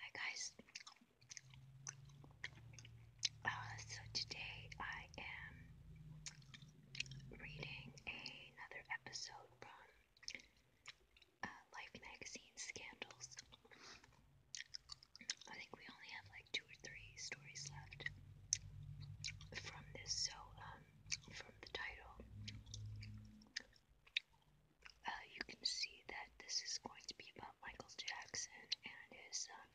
Hi guys. Uh, so today I am reading another episode from uh, Life Magazine Scandals. I think we only have like two or three stories left from this, so um, from the title, uh, you can see that this is going to be about Michael Jackson and his um,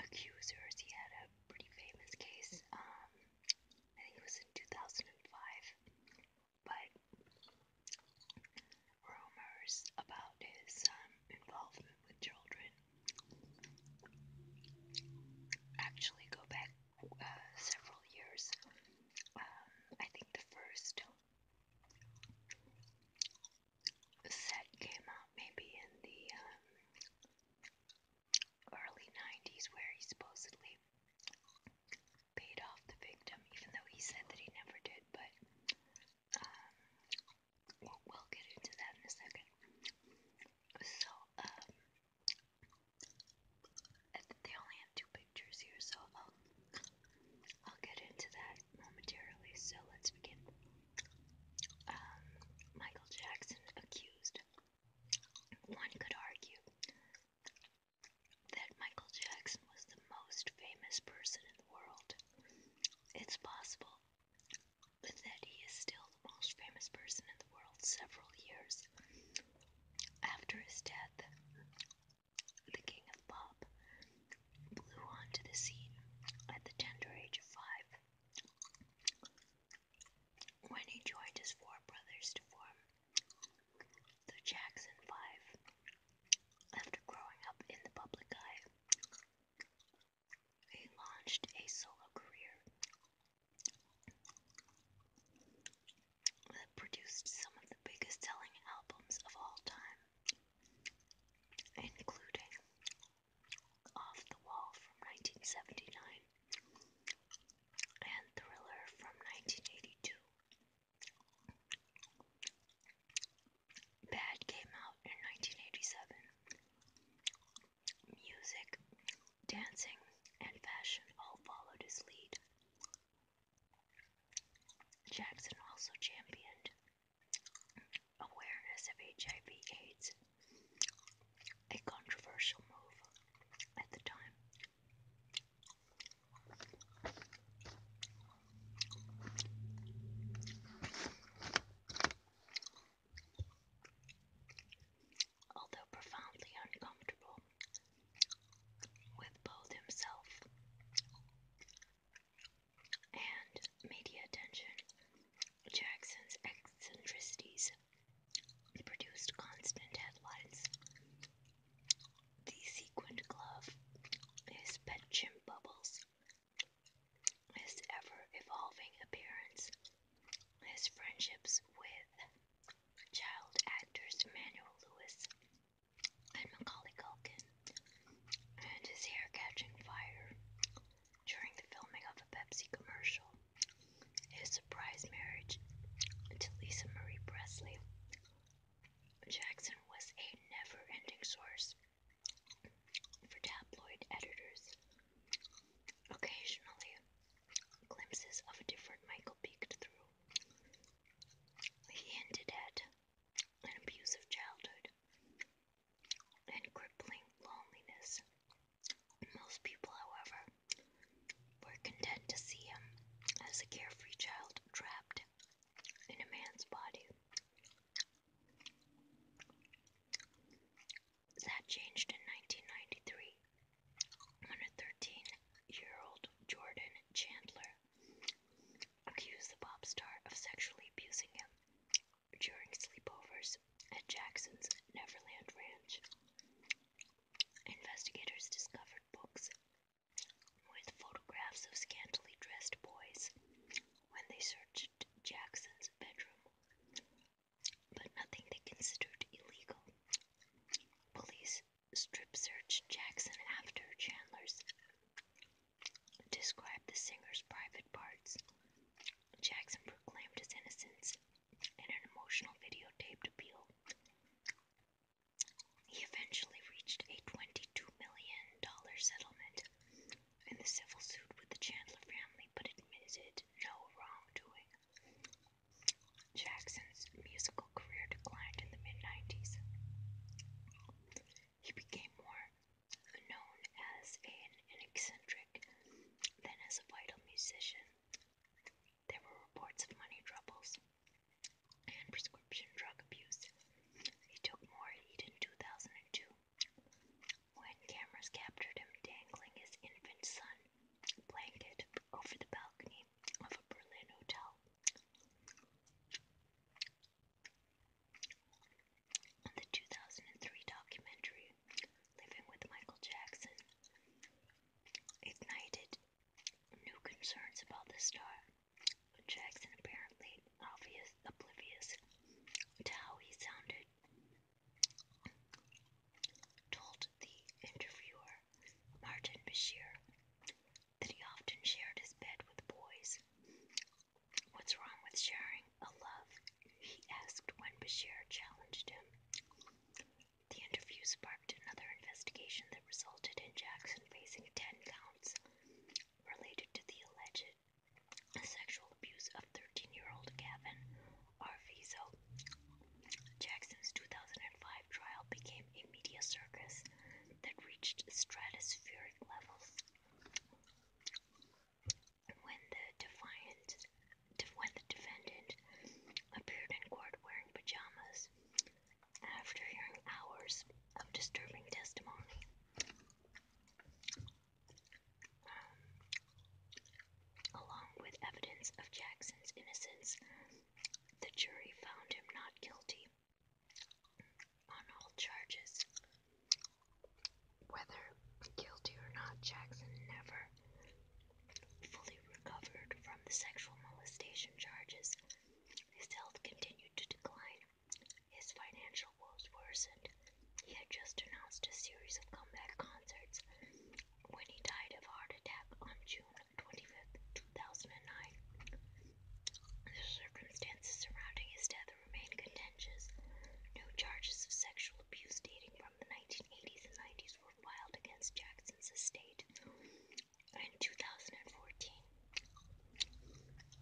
accusers. He had a pretty famous case. Um, I think it was in 2005, but rumors about his um, involvement with children actually go back several years. Um, I think the first set came out maybe in the um, early 90s, where he supposedly paid off the victim, even though he said that he never did. But um, we'll, get into that in a second. So, they only have two pictures here, so I'll, I'll get into that momentarily. So let's begin. Um, Michael Jackson accused. One could argue that Michael Jackson was the most famous person in the world. It's possible that he is still most famous person in the world several years after his death. The king of pop blew onto the scene at the tender age of five when he joined his four brothers to form the Jackson Five. After growing up in the public eye, he launched a solo career that produced some of the biggest selling albums of all time, including Off the Wall from 1979 and Thriller from 1982. Bad came out in 1987 Music, dancing, and fashion all followed his lead. Jackson also championed awareness of HIV/AIDS, a controversial move at the time. Although profoundly uncomfortable with both himself and media attention, Jackson's eccentricities produced constant headlines. The sequined glove, his pet chimp bubbles, his ever evolving appearance, his friendships with child actors Emmanuel Lewis and Macaulay Culkin, and his hair catching fire during the filming of a Pepsi commercial, his surprise marriage to Lisa Marie Presley. Jackson was a never ending source for tabloid editors Occasionally, glimpses of a different Michael peeked through. He hinted at an abusive childhood and crippling loneliness. Most people, however, were content to see him as a carefree child trapped in a man's body. That changed in 1993 when a 13 year old Jordan Chandler accused the pop star of sexually abusing him during sleepovers at Jackson's Neverland Ranch. Investigators discovered books with photographs of scantily dressed boys when they searched Jackson's bedroom but nothing they considered illegal. Police strip searched Jackson after Chandler's. Described the singer's private parts. Jackson proclaimed his innocence in an emotional videotaped appeal. He eventually reached a $22 million settlement in the civil suit with the Chandler family, but admitted no wrongdoing. Jackson's musical career declined in the mid 90s. He became more known as an, eccentric than as a vital musician. There were reports of money troubles and prescription drug abuse. He took more heat in 2002 when cameras captured him dangling his infant son played it over the balcony of a Berlin hotel. the 2003 documentary, Living with Michael Jackson, ignited new concerns about the star. Jackson apparently oblivious to how he sounded told the interviewer Martin Bashir that he often shared his bed with boys. What's wrong with sharing a love? he asked when Bashir challenged him. The interview sparked another investigation that resulted in Jackson facing 10 counts related to the alleged sexual abuse of 13 year old Gavin or Jackson's 2005 trial became a media circus that reached stratospheric levels. when the defendant appeared in court wearing pajamas, after hearing hours of disturbing testimony, along with evidence of Jackson's innocence, the jury found him not guilty on all charges. Whether guilty or not, Jackson never fully recovered from the sexual molestation charges. His health continued to decline. His financial woes worsened. He had just announced a series of comeback concerts when he died of heart attack on June 25, 2009. The circumstances surrounding his death remain contentious. New charges of sexual abuse dating from the 1980s and 90s were filed against Jackson's estate in 2014.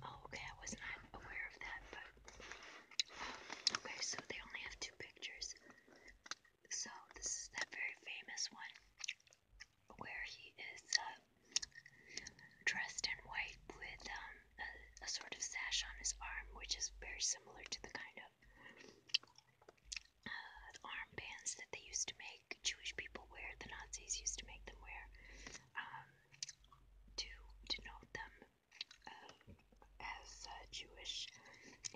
Oh, okay, I was not aware of that, but. Okay, so they only have two pictures. So this is that very famous one where he is uh, dressed in white with um, a, sort of sash on his arm, which is very similar to the kind of uh, armbands that they used to make Jewish people wear. The Nazis used to make them wear um, to denote them um, as uh, Jewish,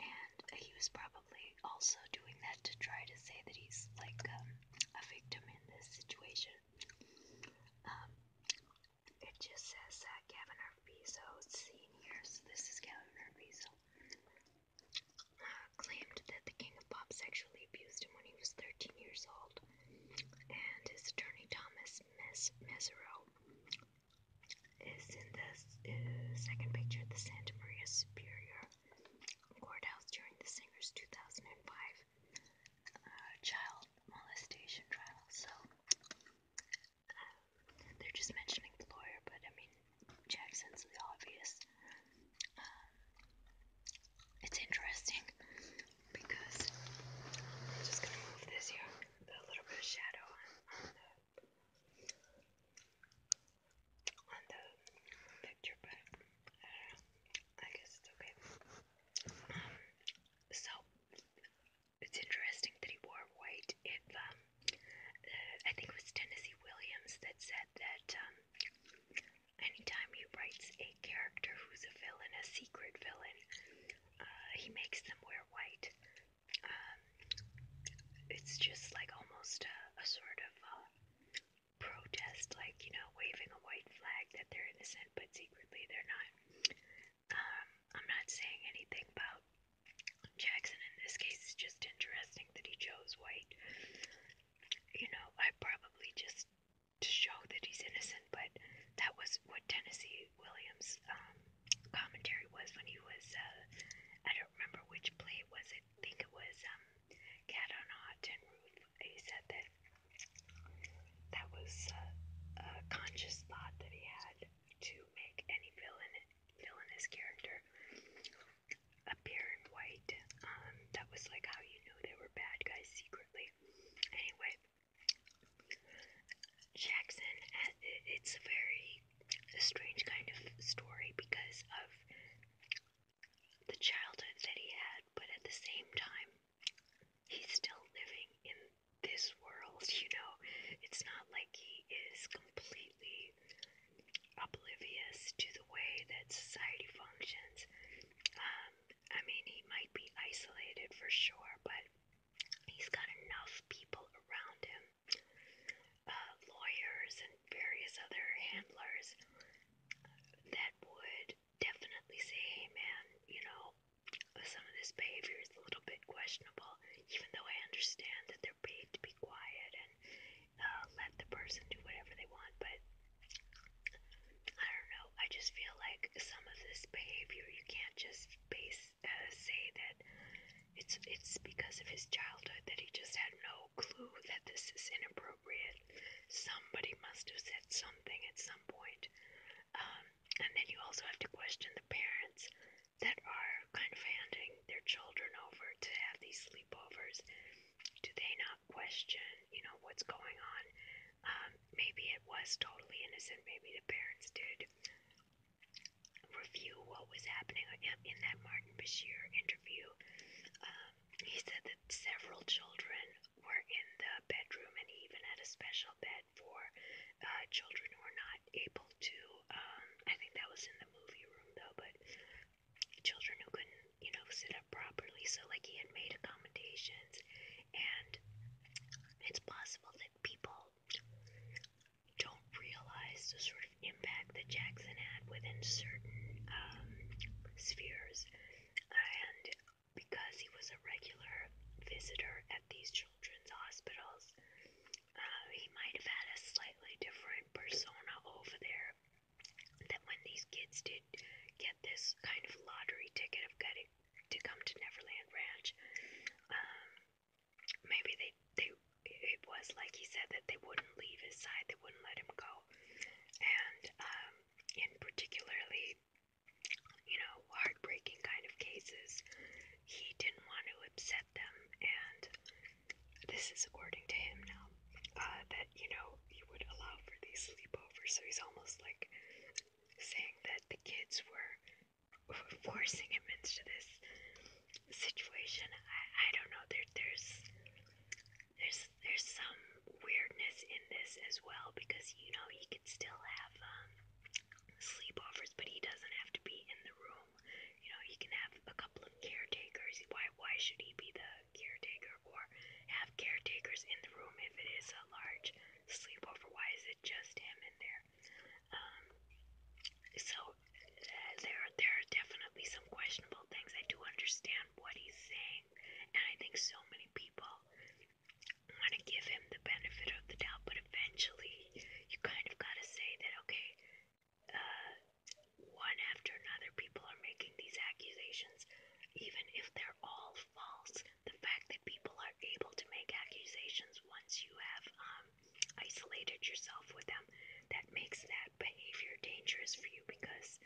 and he was probably also doing that to try to say that he's like um, a victim in this situation. Um, it just says uh, Gavin Arvizo seen here, so this is Gavin Arvizo. Uh, claimed that the king of pop sexually abused him when he was 13 years old, and his attorney Thomas Mes- Mesero is in the uh, second picture, the Santa Maria Superior Court House during the singer's 2005 uh, child molestation trial. So um, they're just mentioning the lawyer, but I mean, Jackson's the obvious. Um, it's interesting because just gonna move this here, put a little bit of shadow on, on the picture, but I don't know. I guess it's okay. Um, so it's interesting that he wore white. If um, uh, I think it was Tennessee Williams that said that um, anytime he writes a character who's a villain, a secret villain, uh, he makes them wear white um, it's just like almost a, a sort of uh, protest, like, you know, waving a white flag that they're innocent, but secretly they're not. Um, I'm not saying anything about Jackson in this case. It's just interesting that he chose white. You know, I probably just to show that he's innocent, but that was what Tennessee Williams' um, commentary was when he was, uh, I don't remember which play it was, I think it was um, Cat on a Hot Tin Roof. He said that that was uh, a conscious thought that he had to make any villain, villainous character appear in white. Um, that was like how you knew they were bad guys secretly. Anyway, Jackson, it's a very strange kind of story because of the childhood that he had, but at the same time, he's still living in this world, you know? It's not like he is completely oblivious to the way that society functions. Um, I mean, he might be isolated for sure, but he's got enough people around him uh, lawyers and various other handlers that would definitely say, hey man, you know, some of this behavior is a little bit questionable, even though I understand that they're paid to be quiet and uh, let the person do whatever they want. But I don't know, I just feel like some of this behavior you can't just base, uh, say that it's it's because of his childhood that he just had no clue that this is inappropriate. Somebody must have said something at some point. Um, and then you also have to question the parents that are kind of handing their children over to have these sleepovers. Do they not question, you know, what's going on? Um, maybe it was totally innocent. Maybe the parents did review what was happening in that Martin Bashir interview, um, he said that several children were in the bedroom, and he even had a special bed for uh, children who were not able to. Um, I think that was in the movie room though, but children who couldn't, you know, sit up properly. So like he had made accommodations, and it's possible that people don't realize the sort of impact that Jackson had within certain um, spheres. And because he was a regular visitor at these children's hospitals, uh, he might have had a slightly different persona over there. That when these kids did get this kind of lottery ticket of getting to come to Neverland Ranch, um, maybe they they it was like he said that they wouldn't leave his side, they wouldn't let him go, and um, in particularly, you know, heartbreaking kind of cases, he didn't want to upset them, and this is according to him now uh, that you know he would allow for these sleepovers, so he's almost like saying that the kids were forcing him into this situation. I, I don't know. There there's there's there's some weirdness in this as well because you know he could still have um, sleepovers, but he doesn't have to be in the room. You know he can have a couple of caretakers. Why why should he be the caretaker or have caretakers in the room if it is a large sleepover? Why is it just him in there? Um, so uh, there, there are definitely some questionable things. I do understand what he's saying, and I think so many people want to give him the benefit of the doubt, but eventually you kind of got to say that, okay, uh, one after another, people are making these accusations, even if they're all false. The fact that people are able to make accusations once you have um, isolated yourself with them, that makes that behavior dangerous for you because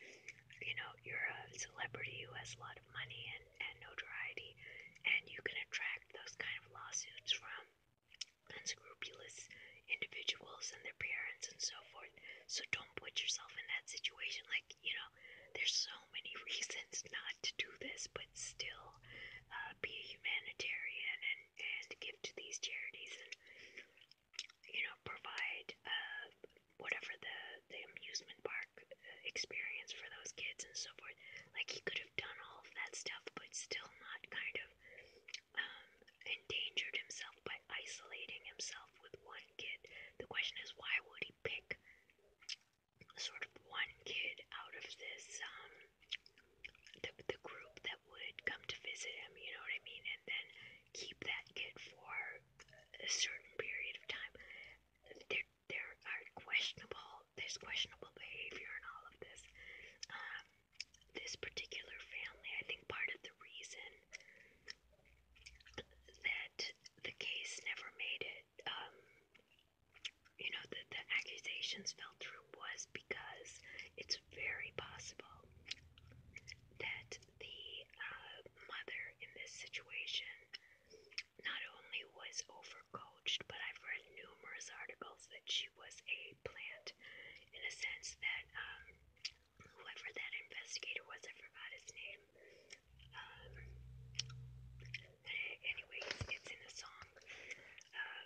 you know you're a celebrity who has a lot of money and, and notoriety, and you can attract those kind of lawsuits from unscrupulous individuals and their parents and so forth. So don't put yourself in that situation. Like, you know, there's so many reasons not to do this, but still, uh, uh, be humanitarian and, and give to these charities and, you know, provide uh, whatever the, the amusement park uh, experience for those kids and so forth. Like, he could have done all of that stuff, but still not kind of um, endangered himself by isolating himself with one kid. The question is, why would he pick sort of one kid out of this um the, the group that would come to visit him, you know what I mean, and then keep that kid for a certain period of time. There, there are questionable, there's questionable behavior in all of this. Um, this particular family, I think part of the reason that the case never made it um, you know, that the accusations fell through was because it's very possible that the uh, mother in this situation not only was overcoached, but I've read numerous articles that she was a plant in a sense that um, whoever that investigator was, I forgot his name, um, Anyways, it's in a song. Uh,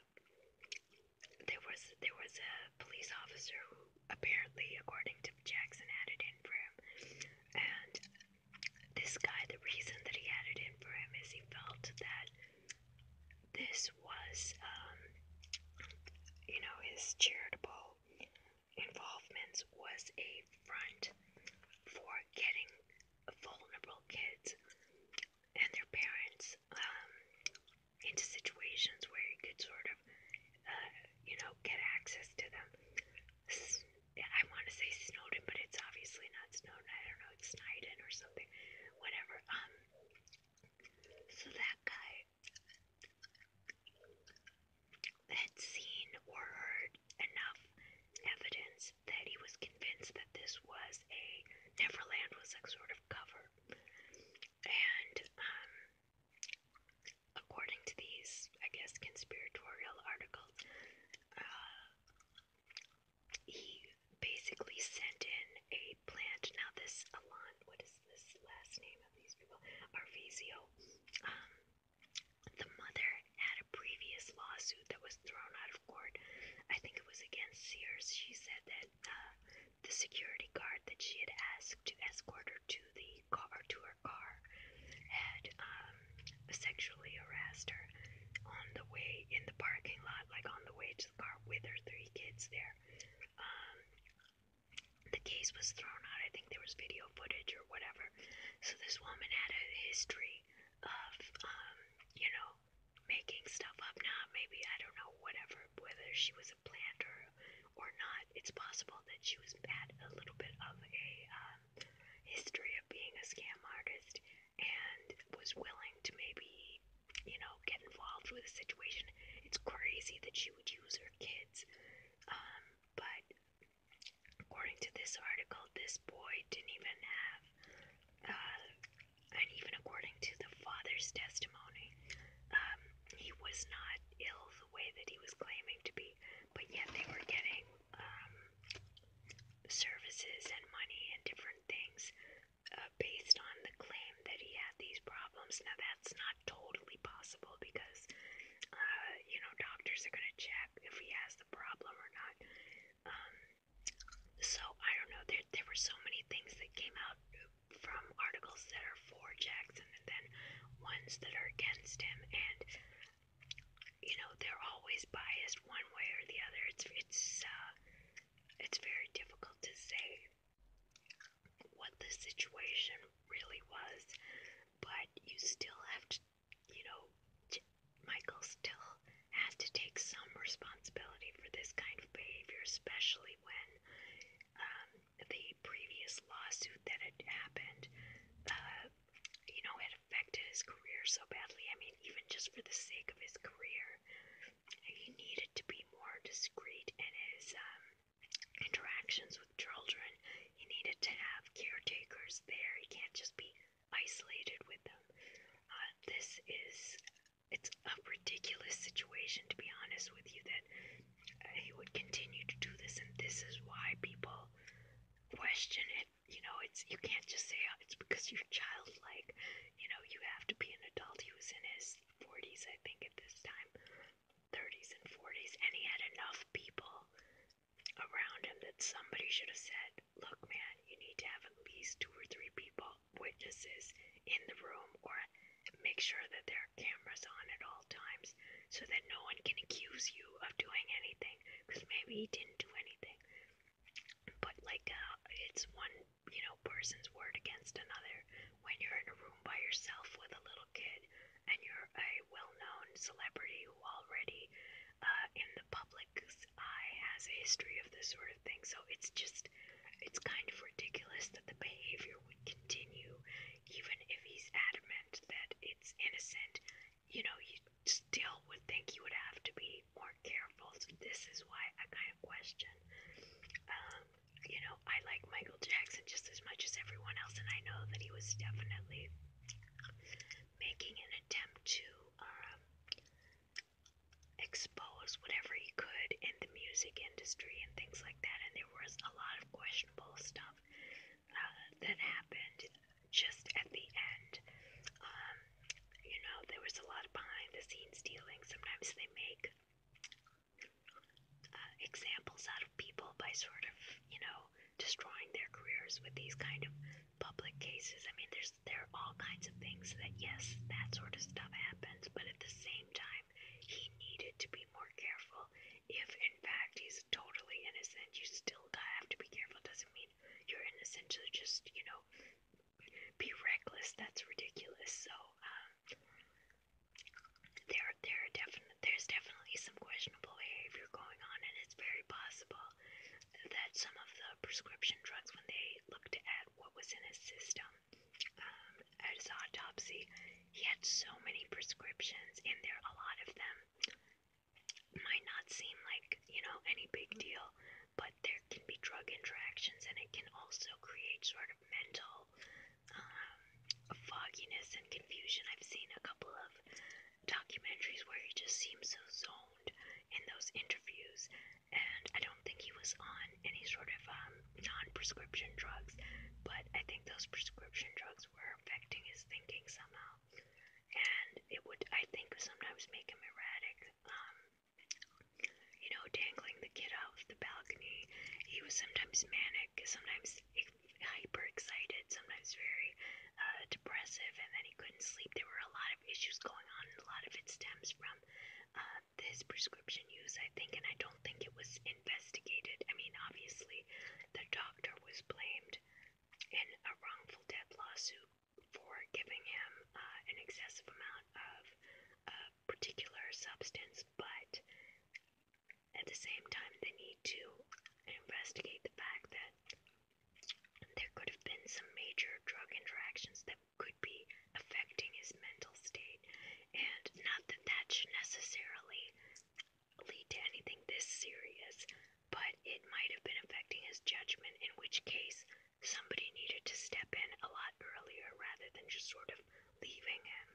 there was there was a police officer who apparently, according to Jackson, had it in for him. And this guy, the reason that he had it in for him is he felt that this was, um, you know, his charitable involvements was a front for getting vulnerable kids and their parents um, into situations where you could sort of, uh, you know, get access to them. S I want to say Snowden, but it's obviously not Snowden. I don't know, it's Snowden or something, whatever. Um, so that guy had seen or heard enough evidence that he was convinced that this was a Neverland was like sort of cover, and um, according to these, I guess, conspiratorial articles, uh, he basically sent in a plant. Now this Alon, what is this last name of these people? Arvizio. Um, the mother had had a previous lawsuit that was thrown out of court. I think it was against Sears. She said that uh, the security guard that she had asked to escort her to the car to her car had um, sexually harassed her on the way in the parking lot, like on the way to the car with her three kids there. Um, the case was thrown out. I think there was video footage or whatever. So this woman had a history of, um, you know, making stuff up now. Maybe, I don't know, whatever, whether she was a planter or not. It's possible that she was had a little bit of a um, history of being a scam artist and was willing to maybe, you know, get involved with a situation. It's crazy that she would use her kids. Um, but according to this article, this boy didn't even have uh, and even according to the father's testimony, um, he was not ill the way that he was claiming to be, but yet they were getting um, services and money and different things uh, based on the claim that he had these problems. Now, that's not totally possible because, uh, you know, doctors are going to check if he has the problem or not. Um, so I don't know. There there were so many things that came out from articles that are for Jackson and then ones that are against him, and you know they're always biased one way or the other. It's it's uh, it's very difficult to say what the situation really was, but you still have to you know Michael still has to take some responsibility for this kind of behavior, especially when um, the previous lawsuit that had happened, uh, you know, had affected his career so badly. I mean, even just for the sake of his career, he needed to be more discreet in his um, interactions with children. He needed to have caretakers there. He can't just be isolated with them. Uh, this is it's a ridiculous situation to be honest with you that uh, he would continue to do this and this is why people question it you know it's you can't just say oh, it's because you're childlike you know you have to be an adult he was in his 40s i think at this time 30s and 40s and he had enough people around him that somebody should have said look man that you need to have at least two or three people, witnesses in the room, or make sure that there are cameras on at all times so that no one can accuse you of doing anything because maybe he didn't do anything. But, like, uh, it's one, you know, person's word against another when you're in a room by yourself with a little kid and you're a well known celebrity who already uh, in the public eye has a history of this sort of thing. So it's just, it's kind of ridiculous that the behavior would continue, even if he's adamant that it's innocent. You know, you still would think you would have to be more careful. So this is why I kind of question. Um, you know, I like Michael Jackson just as much as everyone else, and I know that he was definitely making an attempt to um, expose whatever he could in the music industry and things like that. And there was a lot of questionable stuff uh, that happened just at the end. Um, you know, there was a lot of behind the scenes dealing. Sometimes they make uh, examples out of people by sort of, you know, destroying their careers with these kind of public cases. I mean, there's there are all kinds of things that, yes, that sort of stuff happens, but at the same time, he needed to be more careful. If, in fact, he's totally innocent, you still gotta have to be careful. It doesn't mean you're innocent to just, you know, be reckless. That's ridiculous. So, um, there, there are definite, there's definitely some questionable behavior going on, and it's very possible that some of the prescription drugs, when they looked at what was in his system um, at his autopsy, he had so many prescriptions in there. A lot of them might not seem like, you know, any big deal, but there can be drug interactions and it can also create sort of mental um, fogginess and confusion. I've seen a couple of documentaries where he just seems so zoned in those interviews. And I don't think he was on any sort of um, non prescription drugs, but I think those prescription drugs were affecting his thinking somehow. And it would, I think, sometimes make him erratic. Um, you know, dangling the kid off the balcony. He was sometimes manic, sometimes hyper excited, sometimes very uh, depressive and that he couldn't sleep. There were a lot of issues going on, and a lot of it stems from uh, this prescription use, I think, and I don't think it was investigated. I mean, obviously, the doctor was blamed in a wrongful death lawsuit for giving him uh, an excessive amount of a uh, particular substance, but at the same time, they need to investigate the fact that there could have been some major drug interactions that could be affecting his mental state, and not that that should necessarily lead to anything this serious, but it might have been affecting his judgment, in which case somebody needed to step in a lot earlier rather than just sort of leaving him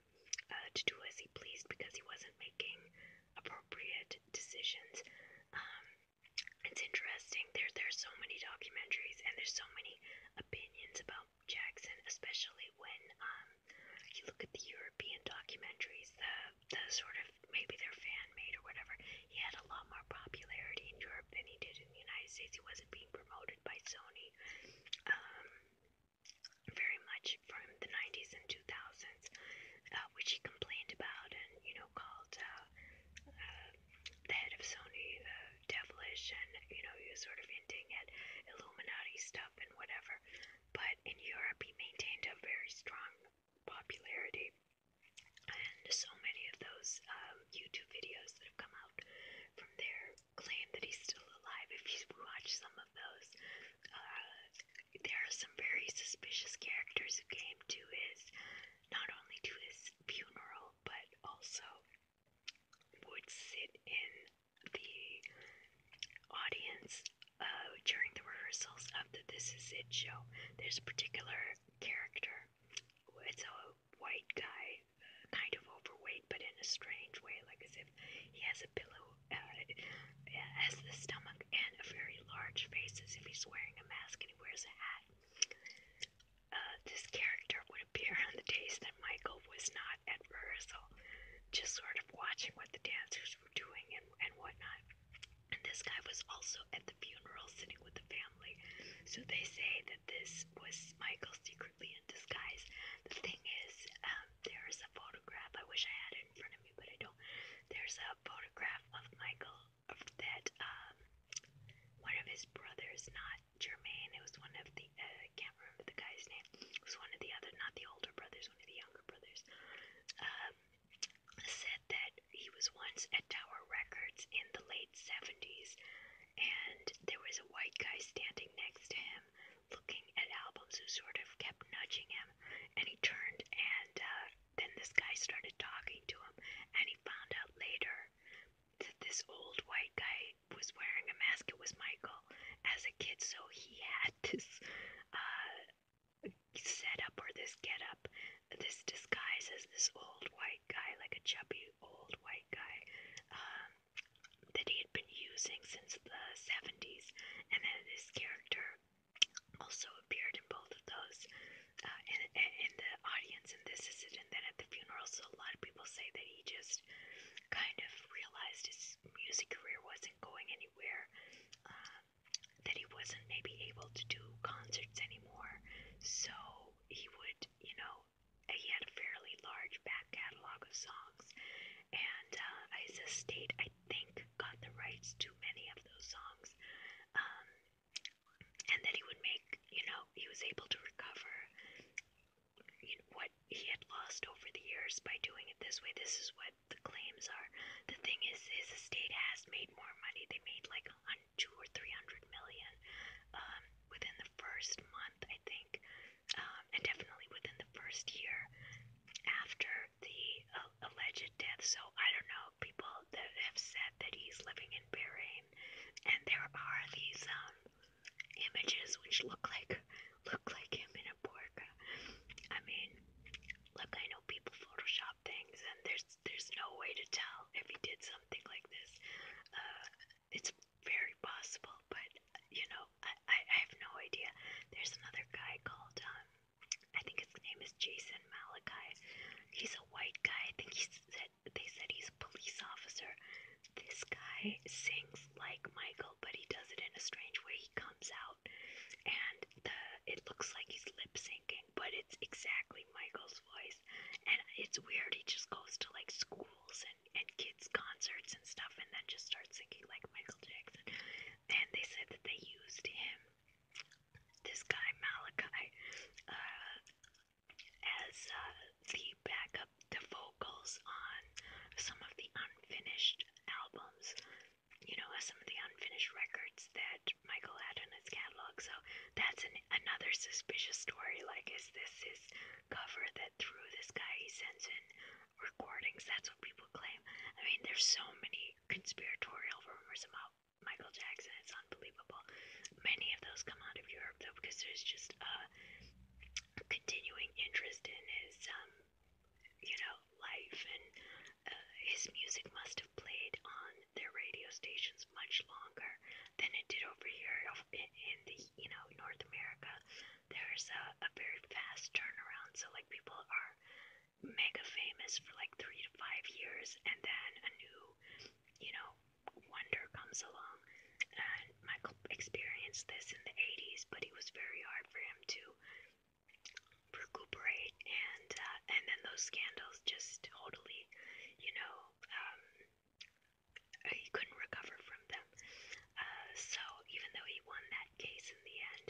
uh, to do as he pleased because he wasn't making appropriate decisions. Um, it's interesting. There there's so many documentaries and there's so many opinions about Jackson, especially when um you look at the European documentaries, the the sort of maybe they're fan made or whatever. He had a lot more popularity in Europe than he did in the United States. He wasn't being promoted by Sony. Um very much from the 90s and 2000s, uh, which he complained about, and you you know, called uh, uh, the head of Sony the uh, devilish, and you know, he was sort of hinting at Illuminati stuff and whatever. But in Europe, he maintained a very strong popularity, and so many of those um, YouTube videos that have come out from there claim that he's still alive. If you watch some of those, uh, there are some very suspicious characters who came to his not only to his funeral, but also would sit in the audience uh, during the rehearsals of the This Is It show. There's a particular character, it's a white guy, uh, kind of overweight, but in a strange way, like as if he has a pillow, uh, the stomach, and a very large face, as if he's wearing a mask and he wears a hat. Uh, this character would appear on the days that Michael was not at rehearsal, just sort of watching what the dancers were doing and, and whatnot. And this guy was also at the funeral sitting with the family. So they say that this was Michael secretly in disguise. The thing is, um, there's a photograph, I wish I had it in front of me, but I don't. There's a photograph of Michael that um, one of his brothers, not Jermaine, it was one of the, uh, I uh, can't remember the guy's name, it was one of the other, not the older brothers, one of the younger brothers, um, said that he was once at Tower Records in the late 70s and there was a white guy standing next to him looking at albums who sort of kept nudging him and he turned and uh, then this guy started talking to him, and he found out later that this old white guy was wearing a mask. It was Michael as a kid, so he had this uh, setup or this get up, this disguise as this old white guy, like a chubby old white guy. Um, that he had been using since the 70s, and then this character also appeared in both of those uh, in, in the audience, and this is it. And then at the funeral, so a lot of people say that he just kind of realized his music career wasn't going anywhere, uh, that he wasn't maybe able to do concerts anymore, so he would, you know, he had a fairly large back catalog of songs, and uh, his estate, I think, got the rights to many of those songs. Um, and that he would make, you know, he was able to recover what he had lost over the years by doing it this way. This is what the claims are. The thing is, his estate has made more money. They made like two or three hundred million um, within the first month, I think, um, and definitely within the first year after the uh, alleged death. So I don't know people that have said that he's living in Bahrain, and there are these um images which look like look like him in a burqa. I mean, look, I know people Photoshop things, and there's there's no way to tell if he did something like this. Uh, it's very possible, but you know, I, I I have no idea. There's another guy called um I think his name is Jason Malachi. He's a white guy. I think he said they said he's a police officer. This guy sings like Michael, but he does it in a strange way. He comes out and the it looks like he's lip syncing, but it's exactly Michael's voice. And it's weird. He just goes to like schools and, and kids' concerts and stuff and then just starts singing like Michael Jackson. And they said that they used him this guy Malachi uh, as uh, the backup, the vocals on some of the unfinished albums. You know, uh, some of the unfinished records that Michael had in his catalog. So that's an, another suspicious story. Like, is this his cover that through this guy he sends in recordings? That's what people claim. I mean, there's so many conspiratorial rumors about Michael Jackson. It's unbelievable. Many of those come out of Europe though, because there's just a uh, continuing interest in his, um, you know, life, and uh, his music must have played on their radio stations much longer than it did over here in the, you know, North America. There's a, a very fast turnaround, so like people are mega famous for like three to five years, and then a new, you know, wonder comes along. And Michael experienced this in the 80s, but it was very hard for him to recuperate, and uh, and then those scandals just totally, you know, um, he couldn't recover from them. Uh, so even though he won that case in the end,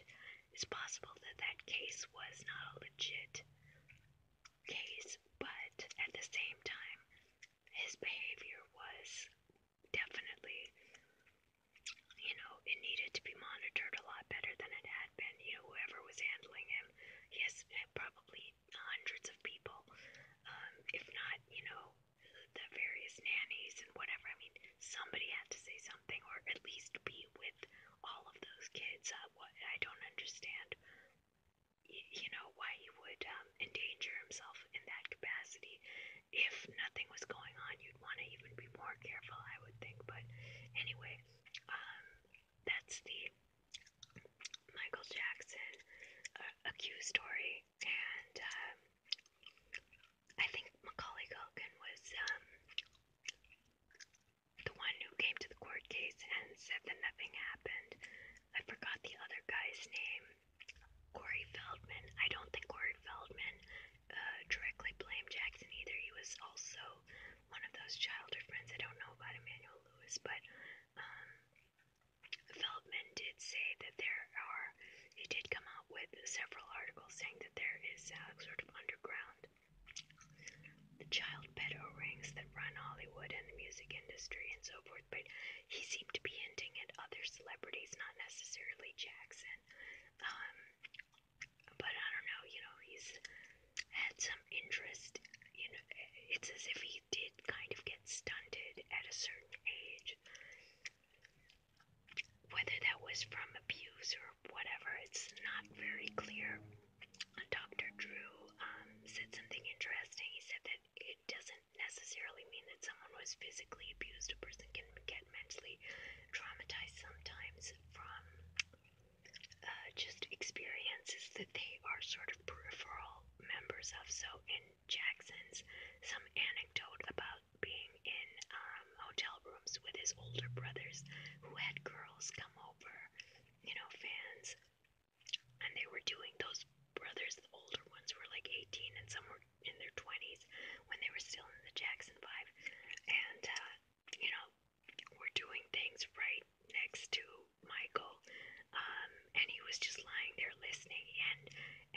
it's possible that that case was not a legit case, but at the same time, his behavior was definitely, you know, it needed to be monitored a lot better than it had been. You know, whoever was handling him, yes, probably hundreds of people, um, if not, you know, the various nannies and whatever. I mean, somebody had to say something or at least be with all of those kids what I don't understand. you know why he would um, endanger himself in that capacity. If nothing was going on, you'd want to even be more careful, I would think. But anyway, um, that's the Michael Jackson uh, accused story, and um, I think Macaulay Culkin was the one who came to the court case and said that nothing happened. I forgot the other guy's name. Corey Feldman. I don't think Corey Feldman uh, directly blamed Jackson either. He was also one of those childhood friends. I don't know about Emmanuel Lewis, but um, Feldman did say that there are, he did come out with several articles saying that there is uh, sort of underground the child pedo rings that run Hollywood and the music industry and so forth, but he seemed to be hinting at other celebrities, not necessarily Jackson. Um, but I don't know, you know, he's had some interest. You know, it's as if he did kind of get stunted at a certain age. Whether that was from abuse or whatever. It's not very clear. Dr. Drew um, said something interesting. He said that it doesn't necessarily mean that someone was physically abused. A person can get mentally traumatized sometimes from uh, just experiences that they are sort of peripheral members of. So, in Jackson's, some anecdote about being in um, hotel rooms with his older brothers who had girls come over you know, fans. And they were doing those brothers, the older ones were like 18 and some were in their 20s when they were still in the Jackson 5. And, uh, you know, were doing things right next to Michael. Um, and he was just lying there listening and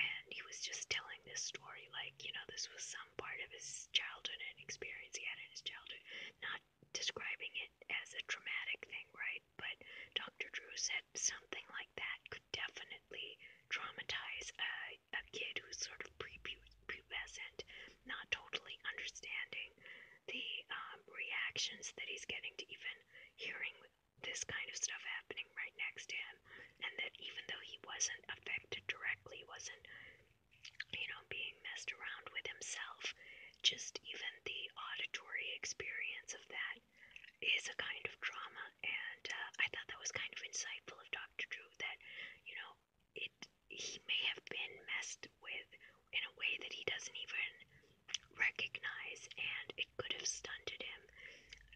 and he was just telling this story like, you know, this was some part of his childhood and experience he had in his childhood, not describing it as a traumatic thing, right? But Dr. Drew said something like that could definitely traumatize a, a kid who's sort of pre prepubescent, not totally understanding the um, reactions that he's getting to even hearing this kind of stuff happening right next to him. And that even though he wasn't affected directly, wasn't you know, being messed around with himself, just even the auditory experience of that is a kind of trauma. And uh, I thought that was kind of insightful of Dr. Drew that, you know, it he may have been messed with in a way that he doesn't even recognize, and it could have stunted him.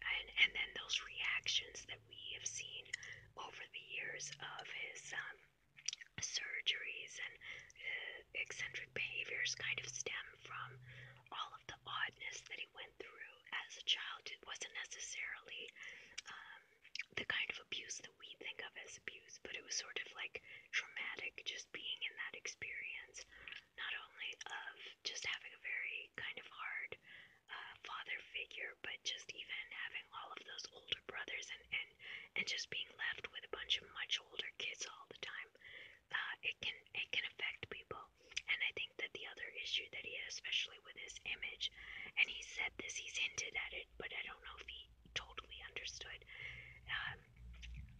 And, and then those reactions that we have seen over the years of his um, surgeries and uh, eccentric behaviors kind of stem from all of the oddness that he went through as a child. It wasn't necessarily um, the kind of abuse that we think of as abuse, but it was sort of like traumatic just being in that experience, not only of just having a very kind of hard uh, father figure, but just even having all of those older brothers and, and fun and just being left with a bunch of much older kids all the time. Uh, it can it can affect people. And I think that the other issue that he had, especially with his image, and he said this, he's hinted at it, but I don't know if he totally understood. Um,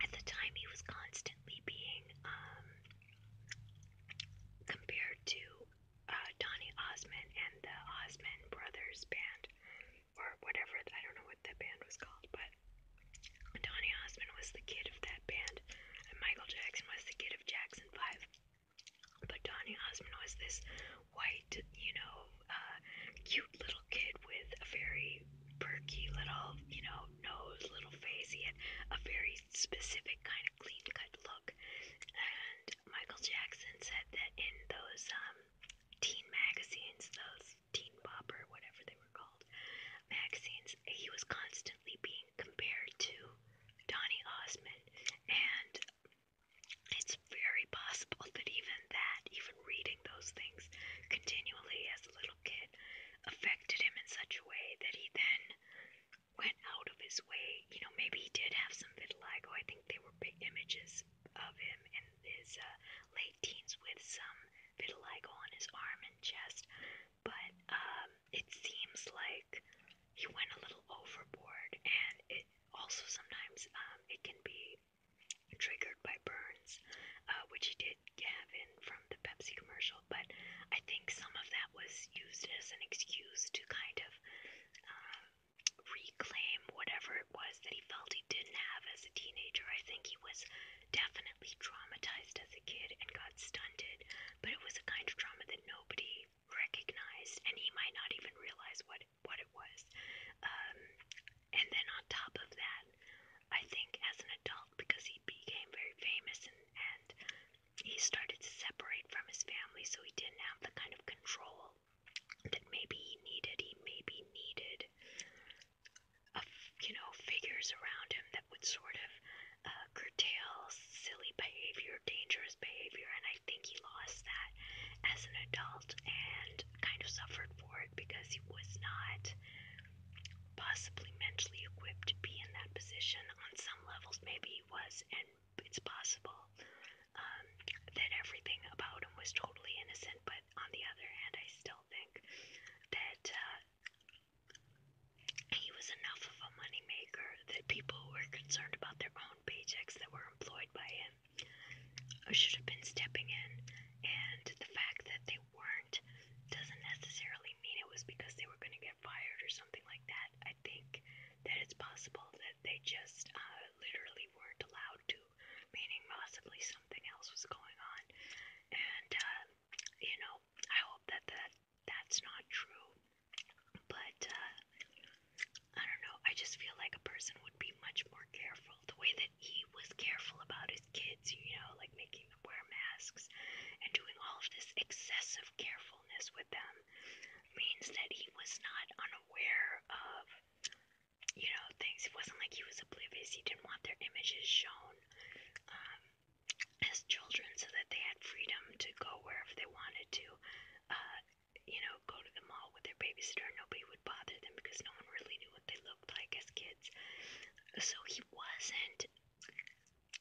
at the time, he was constantly being um, compared to uh, Donny Osmond and the Osmond Brothers band or whatever, I don't know what that band was called, but Donny Osmond was the kid of that band, and Michael Jackson was the kid of Jackson 5. But Donny Osmond was this white, you know, uh, cute little kid with a very perky little, you know, nose, little face. He had a very specific kind of clean cut look. And Michael Jackson said that in those um, teen magazines, those teen pop or whatever they were called, magazines, he was constantly being compared to Donny Osmond. And it's very possible that even that, even reading those things continually as a little kid, affected him in such a way that he then went out of his way. You know, maybe he did have some vitiligo. I think they were big images of him in his uh, late teens with some vitiligo on his arm and chest, but um, it seems like he went a little overboard, and it also sometimes um, it can be triggered by burns, uh, which he did have in from the Pepsi commercial. But I think some of that was used as an excuse to kind of. Um, reclaim whatever it was that he felt he didn't have as a teenager. I think he was definitely traumatized as a kid and got stunted, but it was a kind of trauma that nobody recognized, and he might not even realize what what it was. Um, and then on top of that, I think as an adult, because he became very famous and and he started to separate from his family, so he didn't have the kind of control that maybe he needed. He maybe needed, a, you know, figures around him that would sort of uh, curtail silly behavior, dangerous behavior, and I think he lost that as an adult and kind of suffered for it because he was not possibly mentally equipped to be in that position. On some levels, maybe he was, and it's possible um, that everything about him was totally innocent, but on the other hand, I still think that uh, he was enough of a moneymaker that people who were concerned about their own paychecks that were employed by him should have been stepping in. And the fact that they weren't doesn't necessarily mean it was because they were going to get fired or something like that. I think that it's possible that that they just uh, literally weren't allowed to, meaning possibly something else was going on. And, uh, you know, I hope that, that that's not true. But, uh, I don't know, I just feel like a person would be much more careful. The way that he was careful about his kids, you know, like making them wear masks and doing all of this excessive carefulness with them means that he was not unaware of you know, things. It wasn't like he was oblivious. He didn't want their images shown um, as children so that they had freedom to go wherever they wanted to, uh, you know, go to the mall with their babysitter. Nobody would bother them because no one really knew what they looked like as kids. So he wasn't,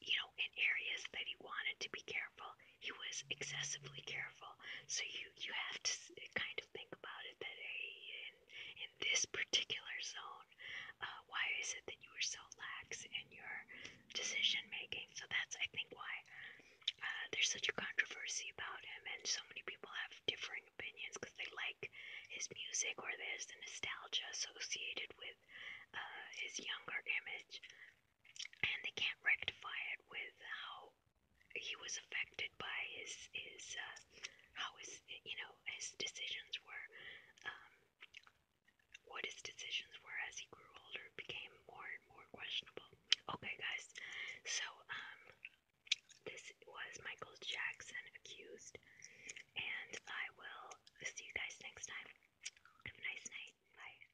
you know, in areas that he wanted to be careful he was excessively careful. So you you have to kind of think about it that hey, in in this particular zone, uh, why is it that you were so lax in your decision making? So that's I think why uh, there's such a controversy about him, and so many people have differing opinions because they like his music or there's the nostalgia associated with uh, his younger image, and they can't rectify it with how he was affected by his his uh, how his you know his decisions were um, what his decisions were as he grew older became more and more questionable. Okay, guys, so um, this was Michael Jackson accused, and I will see you guys next time. Have a nice night. Bye.